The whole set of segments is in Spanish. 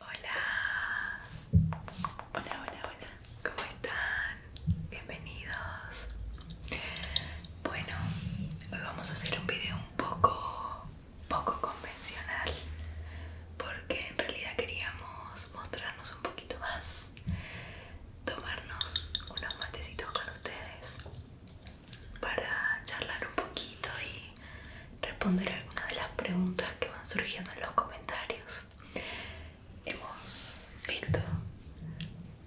Hola, hola, hola, hola, ¿cómo están? Bienvenidos. Bueno, hoy vamos a hacer un video un poco, poco convencional, porque en realidad queríamos mostrarnos un poco poquito más tomarnos unos matecitos con ustedes para charlar un poquito y responder algunas de las preguntas que van surgiendo en los comentarios. Hemos visto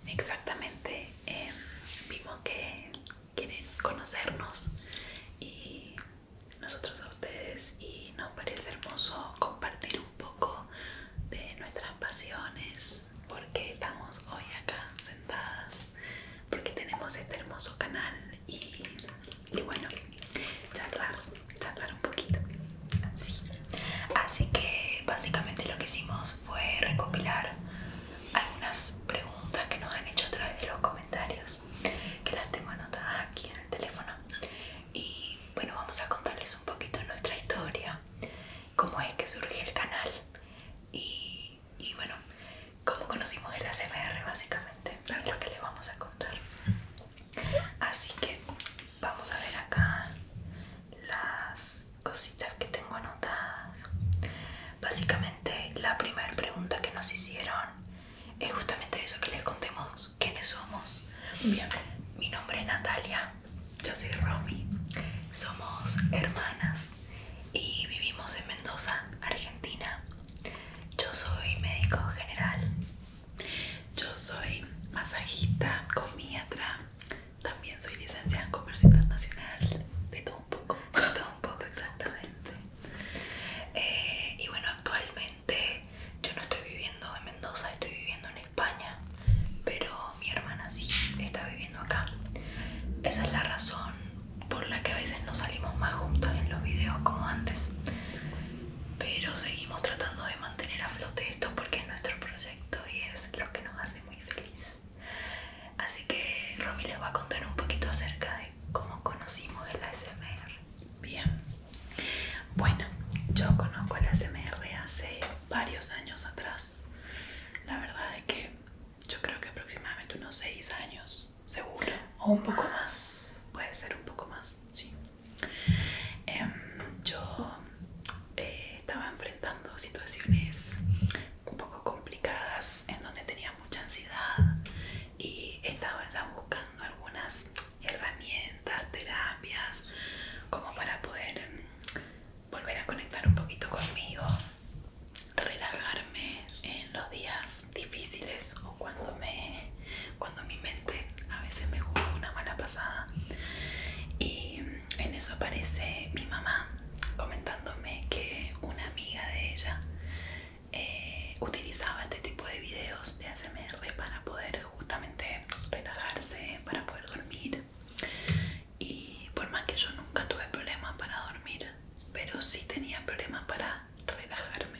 exactamente, vimos eh, que quieren conocernos y nosotros a ustedes y nos parece hermoso compartir un poco de nuestras pasiones, porque estamos hoy acá sentadas, porque tenemos este hermoso canal y, bueno, charlar, charlar un poquito. Así que básicamente lo que hicimos fue recopilar algunas preguntas que nos han hecho a través de los comentarios, que las tengo anotadas aquí en el teléfono y bueno vamos a contarles un poquito nuestra historia cómo es que surgió el canal y, y bueno cómo conocimos el ACMR básicamente es lo que les vamos a contar así que vamos a ver acá las cositas que tengo anotadas básicamente la primera pregunta que nos hicieron es justamente eso que les contemos quiénes somos. Bien, mi nombre es Natalia, yo soy Romy, somos hermanas y vivimos en Mendoza, Argentina. Yo soy médico general, yo soy masajista, comiatra, también soy licenciada en comercio internacional, de todo un poco, de todo un poco exactamente. Eh, y bueno, actualmente yo no estoy viviendo en Mendoza, estoy viviendo en España, pero mi hermana sí está viviendo acá. Esa es la razón por la que a veces no salimos más juntos en los videos como antes, pero seguimos tratando de mantener a flote esto porque es nuestro proyecto y es lo que nos hace muy feliz. Así que Romy les va a contar un poquito acerca de cómo conocimos el ASMR. Bien. Bueno, yo conozco el ASMR hace varios años atrás. La verdad es que yo creo que aproximadamente unos 6 años, seguro. O un poco más. Puede ser un poco más, sí. Em, yo eh, estaba enfrentando situaciones un poco complicadas en donde tenía mucha ansiedad y estaba ya buscando algunas herramientas, terapias, como para poder em, volver a conectar un poquito conmigo, relajarme en los días difíciles o cuando me cuando mi mente a veces me juzga una mala pasada. Y en eso aparece mi mamá comentándome que una amiga de ella eh, utilizaba este tipo de videos de ASMR para poder justamente relajarse, para poder dormir. Y por más que yo nunca tuve problemas para dormir, pero sí tenía problemas para relajarme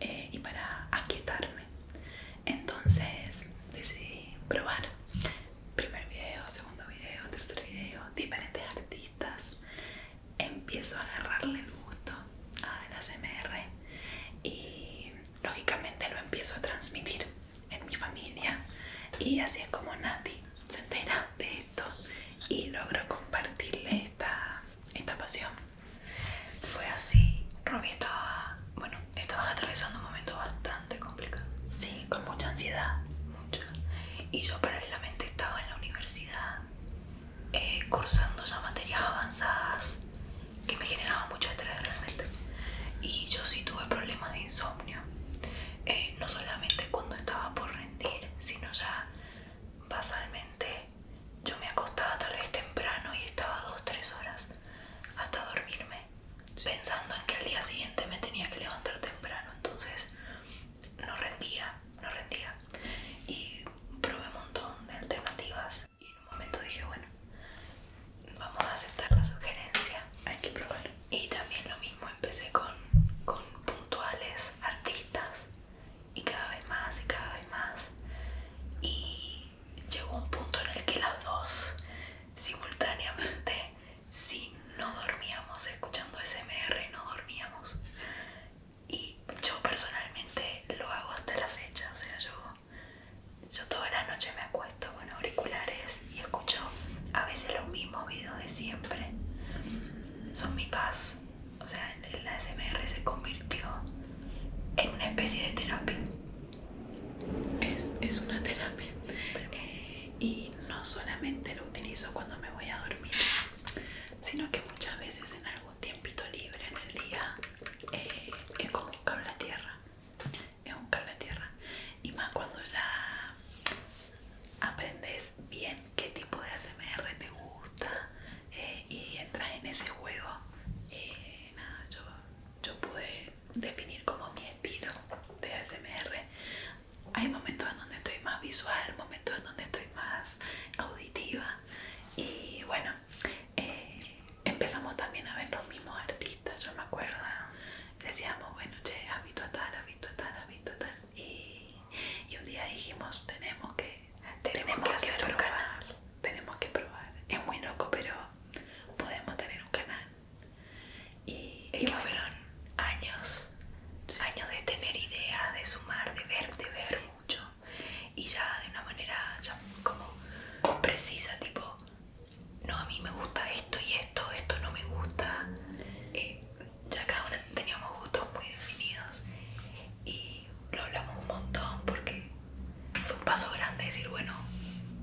eh, y para aquietarme. Entonces decidí probar. Primer video, segundo video, tercer video, diferentes artistas. Empiezo a agarrarle el gusto a la ASMR y lógicamente lo empiezo a transmitir en mi familia y así es como Nati se entera de esto y logro compartirle esta, pasión. Fue así, Robbie estaba, bueno, estabas atravesando un momento bastante complicado. Sí, con mucha ansiedad. Mucha. Y yo paralelamente estaba en la universidad eh, cursando ya materias avanzadas que me generaban mucho estrés realmente. Y yo sí tuve problemas de insomnio, eh, no solamente cuando estaba por rendir, sino ya basalmente yo me acostaba tal vez temprano y estaba 2-3 horas hasta dormirme, pensando en que al día siguiente me tenía que levantar temprano, entonces no rendía, no rendía. Y probé un montón de alternativas y en un momento dije bueno vamos a aceptar la sugerencia hay que probar y también lo mismo empecé con, con puntuales artistas y cada vez más y cada vez más y llegó un punto en el que las dos simultáneamente si no dormíamos escuchando SMR no dormíamos y yo personalmente lo hago hasta la fecha, o sea, yo, yo toda la noche me acuesto con auriculares y escucho a veces los mismos videos de siempre, son mi paz, o sea, la ASMR se convirtió en una especie de terapia. Es, una terapia eh, y no solamente lo utilizo cuando me voy a dormir, sino que muchas veces en algún un tiempito libre en el día eh, es como un tierra es un cable tierra y más cuando ya aprendes bien qué tipo de ASMR te gusta eh, y entras en ese juego eh, nada, yo, yo pude definir como mi estilo de ASMR hay momentos en donde estoy más visual, momentos en donde estoy más auditiva y bueno, eh, empezamos también a ver los mismos artistas, yo me acuerdo. Decíamos, bueno, che, has a tal, has a tal, a tal. Y, un día dijimos, tenemos que, tenemos que, hacer un canal. Tenemos que probar. Es muy loco, pero podemos tener un canal. Y fueron años, años de tener idea de sumar, de ver, de ver mucho y ya de una manera como precisa, tipo, no, a mí me gusta esto y esto, esto no me gusta. Eh, ya cada uno teníamos gustos muy definidos y lo hablamos un montón porque fue un paso grande decir, bueno,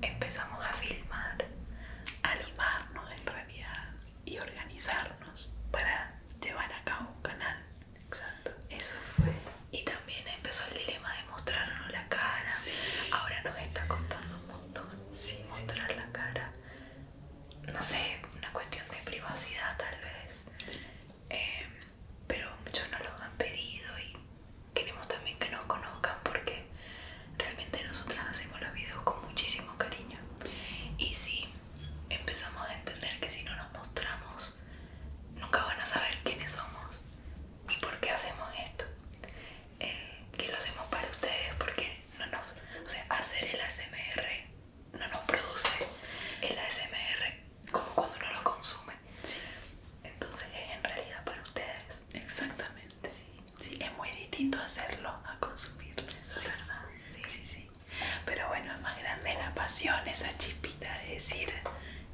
empezamos a filmar, a animarnos en realidad y organizarnos para llevar a cabo un canal Exacto. Eso fue. Y también empezó el dilema de mostrarnos la cara. Ahora nos está costando un montón sin mostrar la cara. No sé, una cuestión de privacidad tal vez. Eh, pero muchos nos lo han pedido y queremos también que nos conozcan porque realmente nosotras hacemos los videos con muchísimo cariño. Y sí, empezamos a entender que si no nos mostramos nunca van a saber quiénes somos y por qué hacemos esto. Eh, que lo hacemos para ustedes porque no nos... O sea, hacer el ASMR no nos produce el ASMR como cuando uno lo consume. Entonces es en realidad para ustedes. Exactamente. Sí. es muy distinto hacerlo a consumirlo. ¿Verdad? Sí, sí, sí. Pero bueno, es más grande la pasión, esa chispita de decir,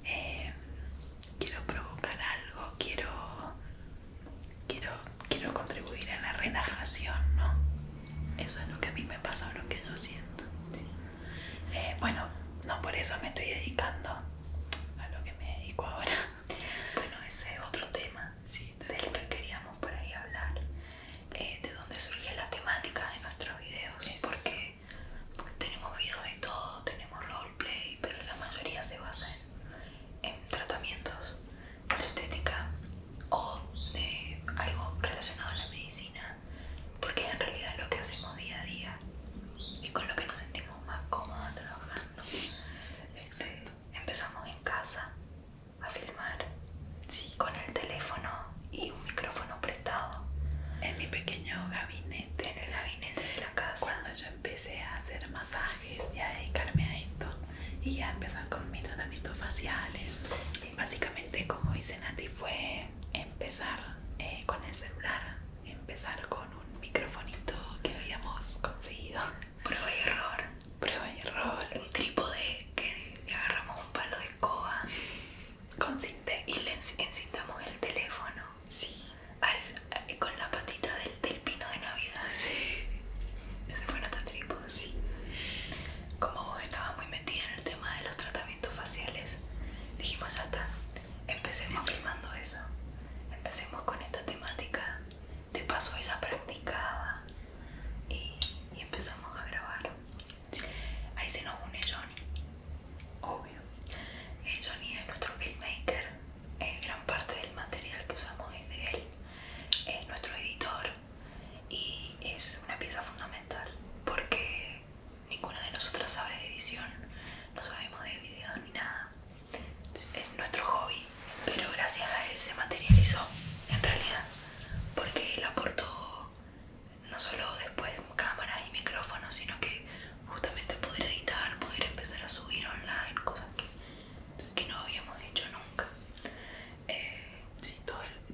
eh, quiero provocar algo, quiero, quiero, quiero contribuir a la relajación, ¿no? Eso es lo que a mí me pasa, lo que yo siento. Eh, bueno, no por eso me estoy dedicando a lo que me dedico ahora. Bueno, ese es otro tema sí, del que queríamos por ahí hablar, eh, de dónde surge la temática de nuestros videos, Sí porque tenemos videos de todo, tenemos roleplay, pero la mayoría se basa en, tratamientos de estética o de algo relacionado a la medicina, porque en realidad lo que hacemos día a día y con lo que nos sentimos más cómodos trabajando. exacto este, empezamos en casa a filmar sí. con el teléfono y un micrófono prestado en mi pequeño gabinete, en el gabinete de la casa. Cuando yo empecé a hacer masajes y a dedicarme a esto y a empezar con mis tratamientos faciales, y básicamente como dice Nati fue empezar eh, con el celular, empezar con un microfonito que habíamos conseguido. Prueba y error, prueba y error. Un trípode que agarramos un palo de escoba con Y le encintamos el teléfono. Eh, con la patita del, pino de Navidad. Ese fue nuestro tripo Como vos estabas muy metida en el tema de los tratamientos faciales, dijimos ya está. Empecemos filmando eso. Empecemos con esta temática. De paso ella practicaba. Y, y empezamos a grabar. Ahí se nos une Johnny, obvio. Eh, Johnny es nuestro filmmaker, gran parte del material que usamos es de él, es nuestro editor y es una pieza fundamental porque ninguna de nosotras sabe de edición, no sabemos de videos ni nada. Es nuestro hobby, pero gracias a él se materializó en realidad porque él aportó no solo después cámaras y micrófonos, sino que justamente poder editar, poder empezar a subir online, cosas que, no habíamos hecho nunca. Eh,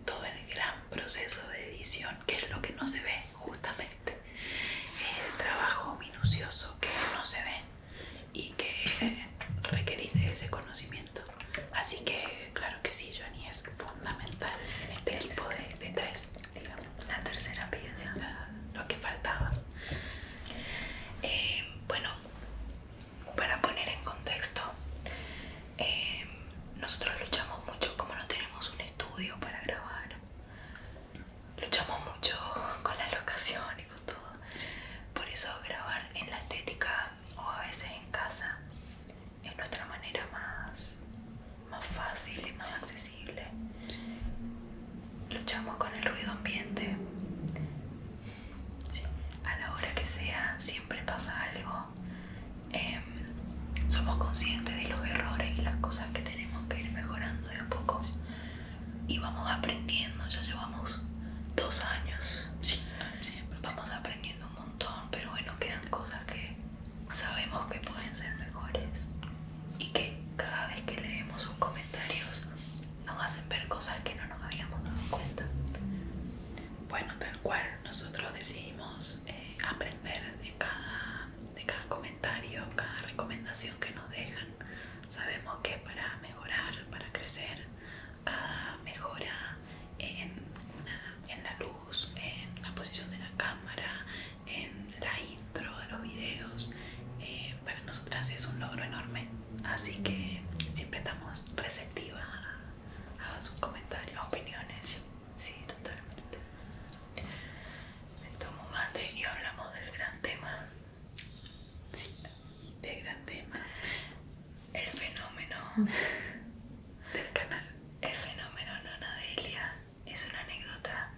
todo el, gran proceso de edición, que es lo que no se ve justamente, el trabajo minucioso que no se ve y que requiere ese conocimiento. Así que, claro que sí, Johnny, es fundamental este tipo de, tres, digamos. La tercera pieza. lo que faltaba. Eh, bueno, para poner en contexto, eh, nosotros luchamos mucho, como no tenemos un estudio para grabar, luchamos mucho con la locación y con todo. Por eso grabar en la estética o a veces en casa es nuestra manera más, más fácil y más accesible. Luchamos con el ruido ambiente. A la hora que sea, siempre pasa algo. Em, somos conscientes de los errores y las cosas que tenemos que ir mejorando de a poco. Y vamos aprendiendo, ya llevamos dos años. Sí. Vamos aprendiendo un montón, pero bueno, quedan cosas que sabemos que pueden ser mejores y que cada vez que leemos sus comentarios nos hacen ver cosas que no nos habíamos dado cuenta. Bueno, tal cual, nosotros decidimos eh, aprender de cada, de cada comentario, cada recomendación que nos dejan. Sabemos que para mejorar, para crecer, cada mejora en, una, en la luz en la posición de la cámara, en la intro de los videos. Eh, para nosotras es un logro enorme, así que siempre estamos receptivas a, sus comentarios, a opiniones. Sí, totalmente. Me tomo mate y hablamos del gran tema. Sí, del gran tema. El fenómeno del canal. El fenómeno Nonadelia es una anécdota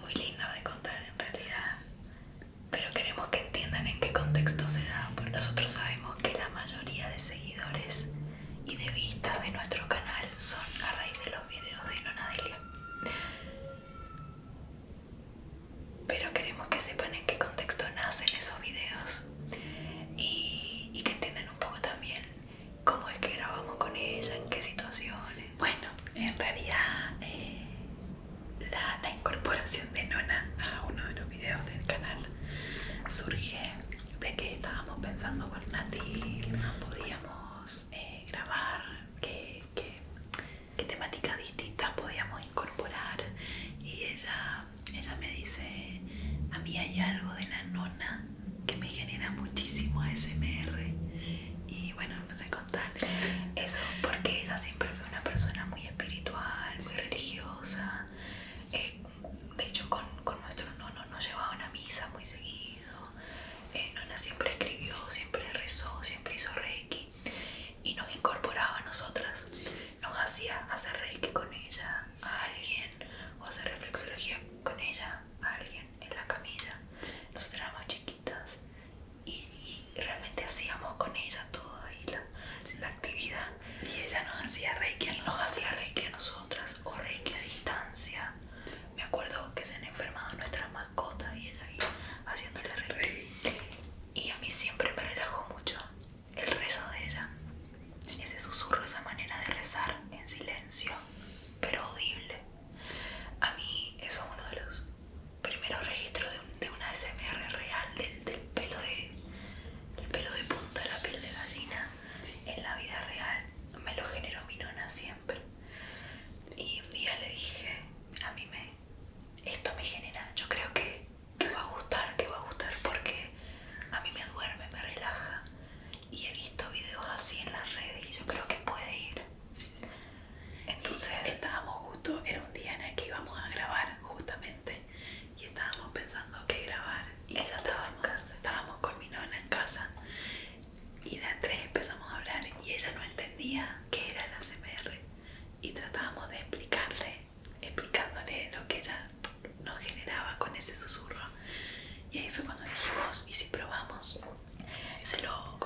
muy linda de contar en realidad, pero queremos que entiendan en qué contexto se da, porque nosotros sabemos que la mayoría de seguidores y de vistas de nuestro canal son a raíz de los videos de Nonadelia. Pero queremos que sepan en qué contexto nacen esos videos y que entiendan un poco también cómo es que grabamos con ella, en qué situaciones. Bueno, en realidad eh, la, incorporación de Nona a uno de los videos del canal surge de que estábamos pensando con Natil, que podíamos eh, grabar, qué que temáticas distintas podíamos incorporar y ella ella, me dice, a mí hay algo de la nona que me genera muchísimo ASMR y bueno, no sé contar eso porque ella siempre fue una persona muy espiritual, muy religiosa. Eh, de hecho, con, nuestro nono nos llevaba una misa muy seguido. Eh, nona siempre escribió, siempre rezó, siempre hizo reiki y nos incorporaba a nosotras. Nos hacía hacer reiki con ella, a alguien o hacer reflexología con ella a alguien en la camilla. nosotras Nosotros éramos chiquitas y, realmente hacíamos con ella toda la, actividad. Y ella nos hacía reiki a Nos hacía a nosotras o reiki a distancia. Me acuerdo que se han enfermado nuestras mascotas y ella ahí haciéndole reiki. Y a mí siempre me relajó mucho el rezo de ella, ese susurro, esa manera de rezar en silencio, pero audible. A mí eso es uno de los primeros registros de, una SMR real, del, pelo de, el pelo de punta, la piel de gallina, en la vida real. Me lo generó mi nona siempre. Y un día le dije, a mí me, esto me genera, yo creo que, que va a gustar, que va a gustar porque a mí me duerme, me relaja. Y he visto videos así en las redes y yo creo que puede ir. Entonces estábamos justo, era un día en el que íbamos a grabar justamente y estábamos pensando qué grabar. Y ella estaba en casa, estábamos con mi nona en casa y las tres empezamos a hablar y ella no entendía qué era la CMR y tratábamos de explicarle, explicándole lo que era nos generaba con ese susurro. Y ahí fue cuando dijimos, ¿y si probamos? Se, lo,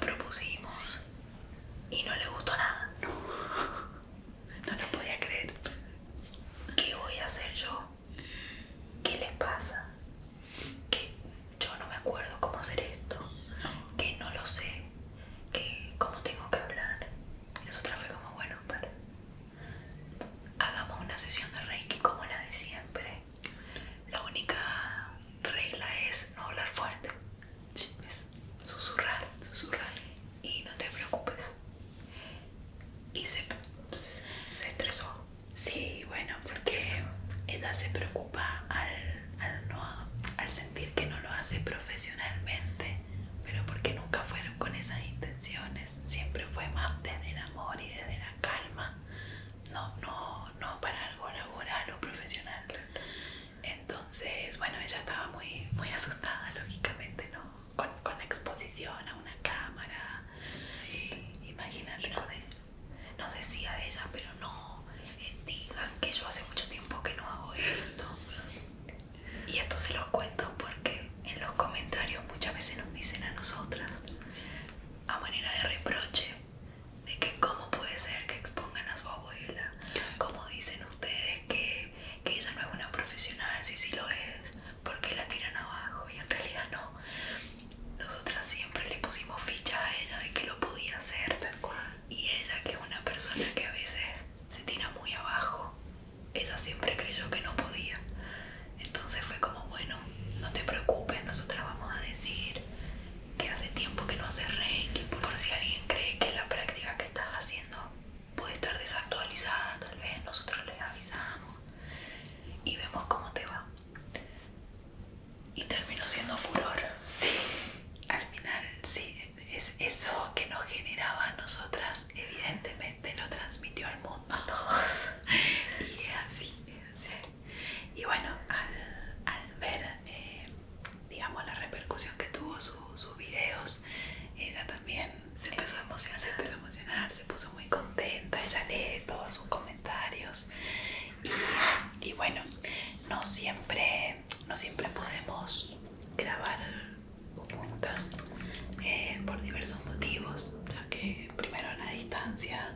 propusimos y no le gustó nada. No, no lo podía creer. ¿Qué voy a hacer yo? ¿Qué les pasa? Que yo no me acuerdo cómo hacer esto, que no lo sé, que cómo tengo que hablar. Y otra fue como, bueno, para, hagamos una sesión de Reiki como la de siempre. La única regla es no hablar fuerte, es susurrar, susurrar y no te preocupes. Y se, se estresó. Sí, bueno, porque ella se preocupa al, al, no, al sentir que no lo hace profesionalmente pero porque nunca fueron con esas intenciones, siempre fue más desde el amor y desde la calma, no, no, para algo laboral o profesional. Entonces, bueno, ella estaba muy, muy asustada, lógicamente, ¿no? Con, la exposición a una cámara. Sí. Imagínate. lo de, no decía ella, pero no eh, digan que yo hace mucho tiempo que no hago esto. Y esto se los cuento porque en los comentarios muchas veces nos dicen a nosotras, a manera de reproche, de que cómo puede ser que expongan a su abuela, cómo dicen ustedes que, ella no es una profesional, si si lo es, porque la tiran abajo y en realidad no. Nosotras siempre le pusimos ficha a ella de que lo podía hacer y ella que es una persona que a veces se tira muy abajo ella siempre creyó que no podía. Entonces fue como, bueno, no te preocupes, nosotras vamos a decir que hace tiempo que no hace reiki, por, si alguien cree que la práctica que estás haciendo puede estar desactualizada, tal vez nosotros les avisamos y vemos cómo te va. Y terminó siendo furor. Sí, al final, sí, es eso que nos generaba a nosotras, evidentemente te lo transmitió al mundo a todos y así, y bueno al, ver eh, digamos la repercusión que tuvo sus videos ella también se empezó a emocionar se empezó a emocionar se puso muy contenta ella lee todos sus comentarios y, y bueno no siempre no siempre podemos grabar juntas eh, por diversos motivos, ya que primero la distancia,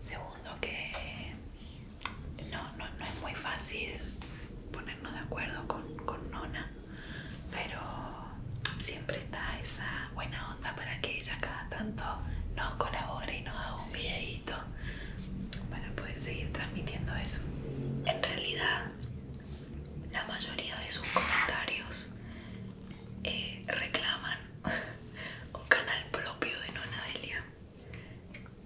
segundo que no, es muy fácil ponernos de acuerdo con, con Nona, pero siempre está esa buena onda para que ella cada tanto nos colabore y nos haga un para poder seguir transmitiendo eso. En realidad la mayoría de sus comentarios eh, reclaman un canal propio de Nona Delia.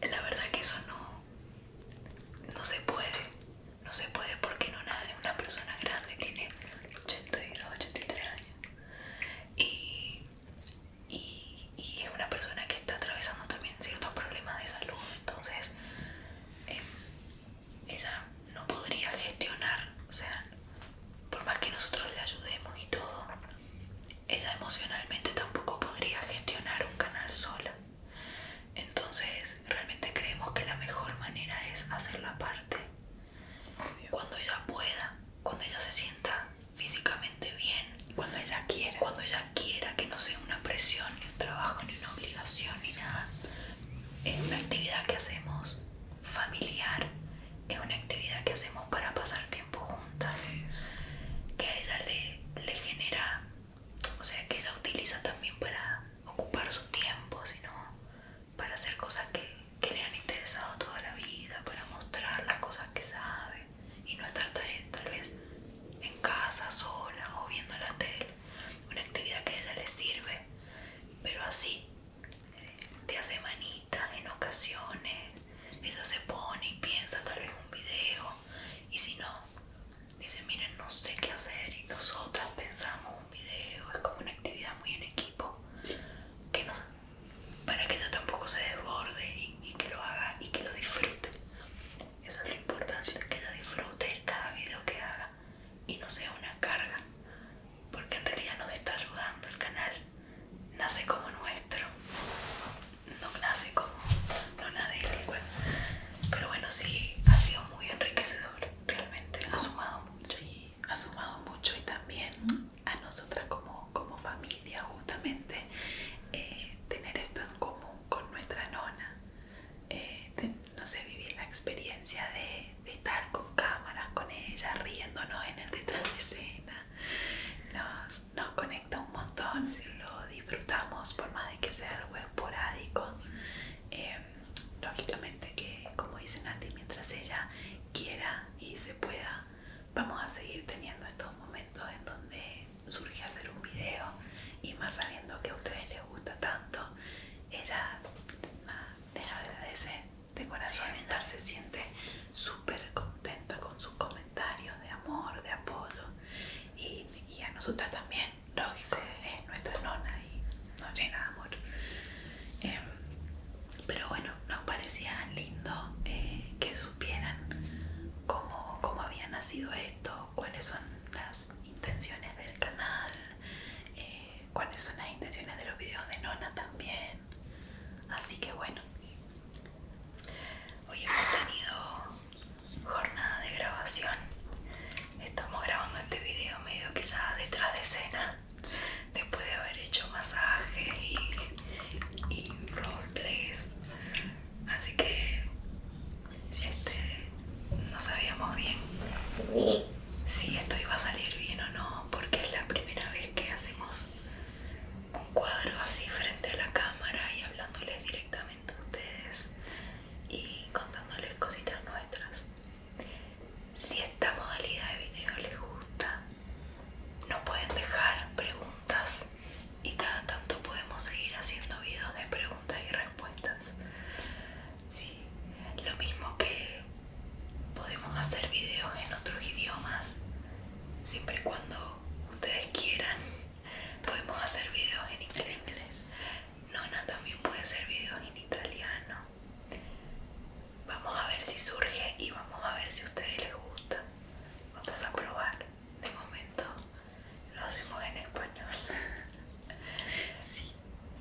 La verdad que eso no, no se puede, no se puede porque Nona es una persona grande, tiene 82, 83 años y, es una persona que está atravesando también ciertos problemas de salud, entonces eh, ella no podría gestionar, o sea, por más que nosotros le ayudemos y todo, ella emocionalmente tampoco podría gestionar un canal sola. Entonces, realmente creemos que la mejor manera es hacerla parte. Cuando ella pueda, cuando ella se sienta físicamente bien, cuando ella quiera, cuando ella quiera que no sea una presión, ni un trabajo, ni una obligación, ni nada es una actividad que hacemos familiar, es una actividad que hacemos para pasar tiempo juntas, que a ella le, genera, o sea, que ella utiliza también para ocupar su tiempo, sino para hacer cosas que, le han interesado toda la vida, para mostrar las cosas que sabe y no estar tal vez en casa sola o viendo la tele, una actividad que a ella le sirve pero así de hace manita en ocasiones ella se pone y piensa tal vez un video y si no dice miren no sé qué hacer y nosotras pensamos un video es como una actividad muy en equipo que para que ella tampoco se desborde y, que lo haga y que lo disfrute eso es la importancia, que ella disfrute cada video que haga y no sea una carga, porque en realidad nos está ayudando el canal. Nace como nuestro, no nace como, no nadie Pero bueno, sí, ha sido muy enriquecedor, realmente, ha sumado mucho. Sí, ha sumado mucho y también a nosotras como, como familia, justamente, eh, tener esto en común con nuestra nona. Eh, no sé, vivir la experiencia de, estar con cámaras, con ella, riéndonos en el detrás de escena. Nos, conecta un montón, si lo disfrutamos por más de que sea algo esporádico. Em, lógicamente que, como dice Nati, mientras ella quiera y se pueda, vamos a seguir teniendo estos momentos en donde surge hacer un video y más sabiendo que a ustedes les gusta tanto ella les agradece de corazón, se siente súper contenta con sus comentarios de amor, de apoyo y, a nosotras también, lógico, es nuestra nona y nos llena de amor. Em, pero bueno, nos parecía lindo eh, que supieran cómo había nacido esto, cuáles son las intenciones del canal, eh, cuáles son las intenciones de los videos de Nona también. Así que bueno, hoy hemos tenido jornada de grabación. Estamos grabando este video medio que ya detrás de escena, después de haber hecho masajes y, y Así que este, no sabíamos bien si esto iba a salir bien o no, porque es la primera vez que hacemos un cuadro así frente a la cámara y hablándoles directamente a ustedes y contándoles cositas nuestras. Si esta modalidad de video les gusta, no pueden dejar preguntas y cada tanto podemos seguir haciendo videos de preguntas y respuestas. Lo mismo que podemos hacer videos en otros idiomas, siempre y cuando ustedes quieran. Podemos hacer videos en inglés. Nona también puede hacer videos en italiano. Vamos a ver si surge y vamos a ver si a ustedes les gusta. Vamos a probar. De momento lo hacemos en español. Sí.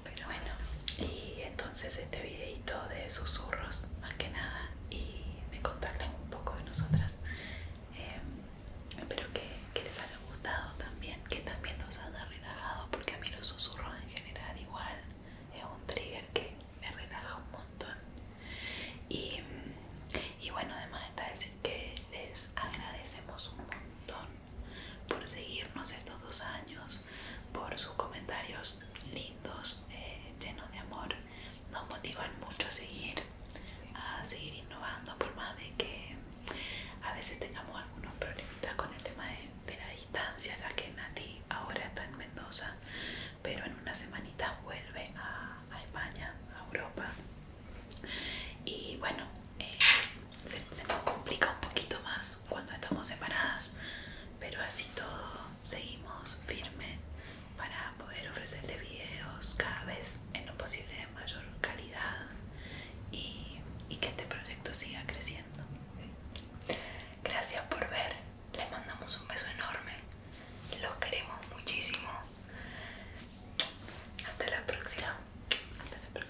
Pero bueno, y entonces este videito de susurros, más que nada, y de contarles un poco de nosotras. Eh, espero que, les haya gustado también, que también nos haya relajado, porque a mí los susurros en general igual es un trigger que me relaja un montón. Y, y bueno, además está decir que les agradecemos un montón por seguirnos estos dos años, por sus comentarios lindos, eh, llenos de amor. Nos motivan mucho a seguir, a seguir innovando, por más de que a veces tengamos algunos problemitas con el tema de, la distancia, ya que Nati ahora está en Mendoza, pero en una semanita vuelve a, España, a Europa. Y bueno, eh, se, nos complica un poquito más cuando estamos separadas, pero así todo seguimos firme para poder ofrecerle videos cada vez en lo posible de mayor calidad y, que este proyecto siga creciendo. Gracias por ver, les mandamos un beso enorme, los queremos muchísimo. Hasta la próxima. Hasta la próxima.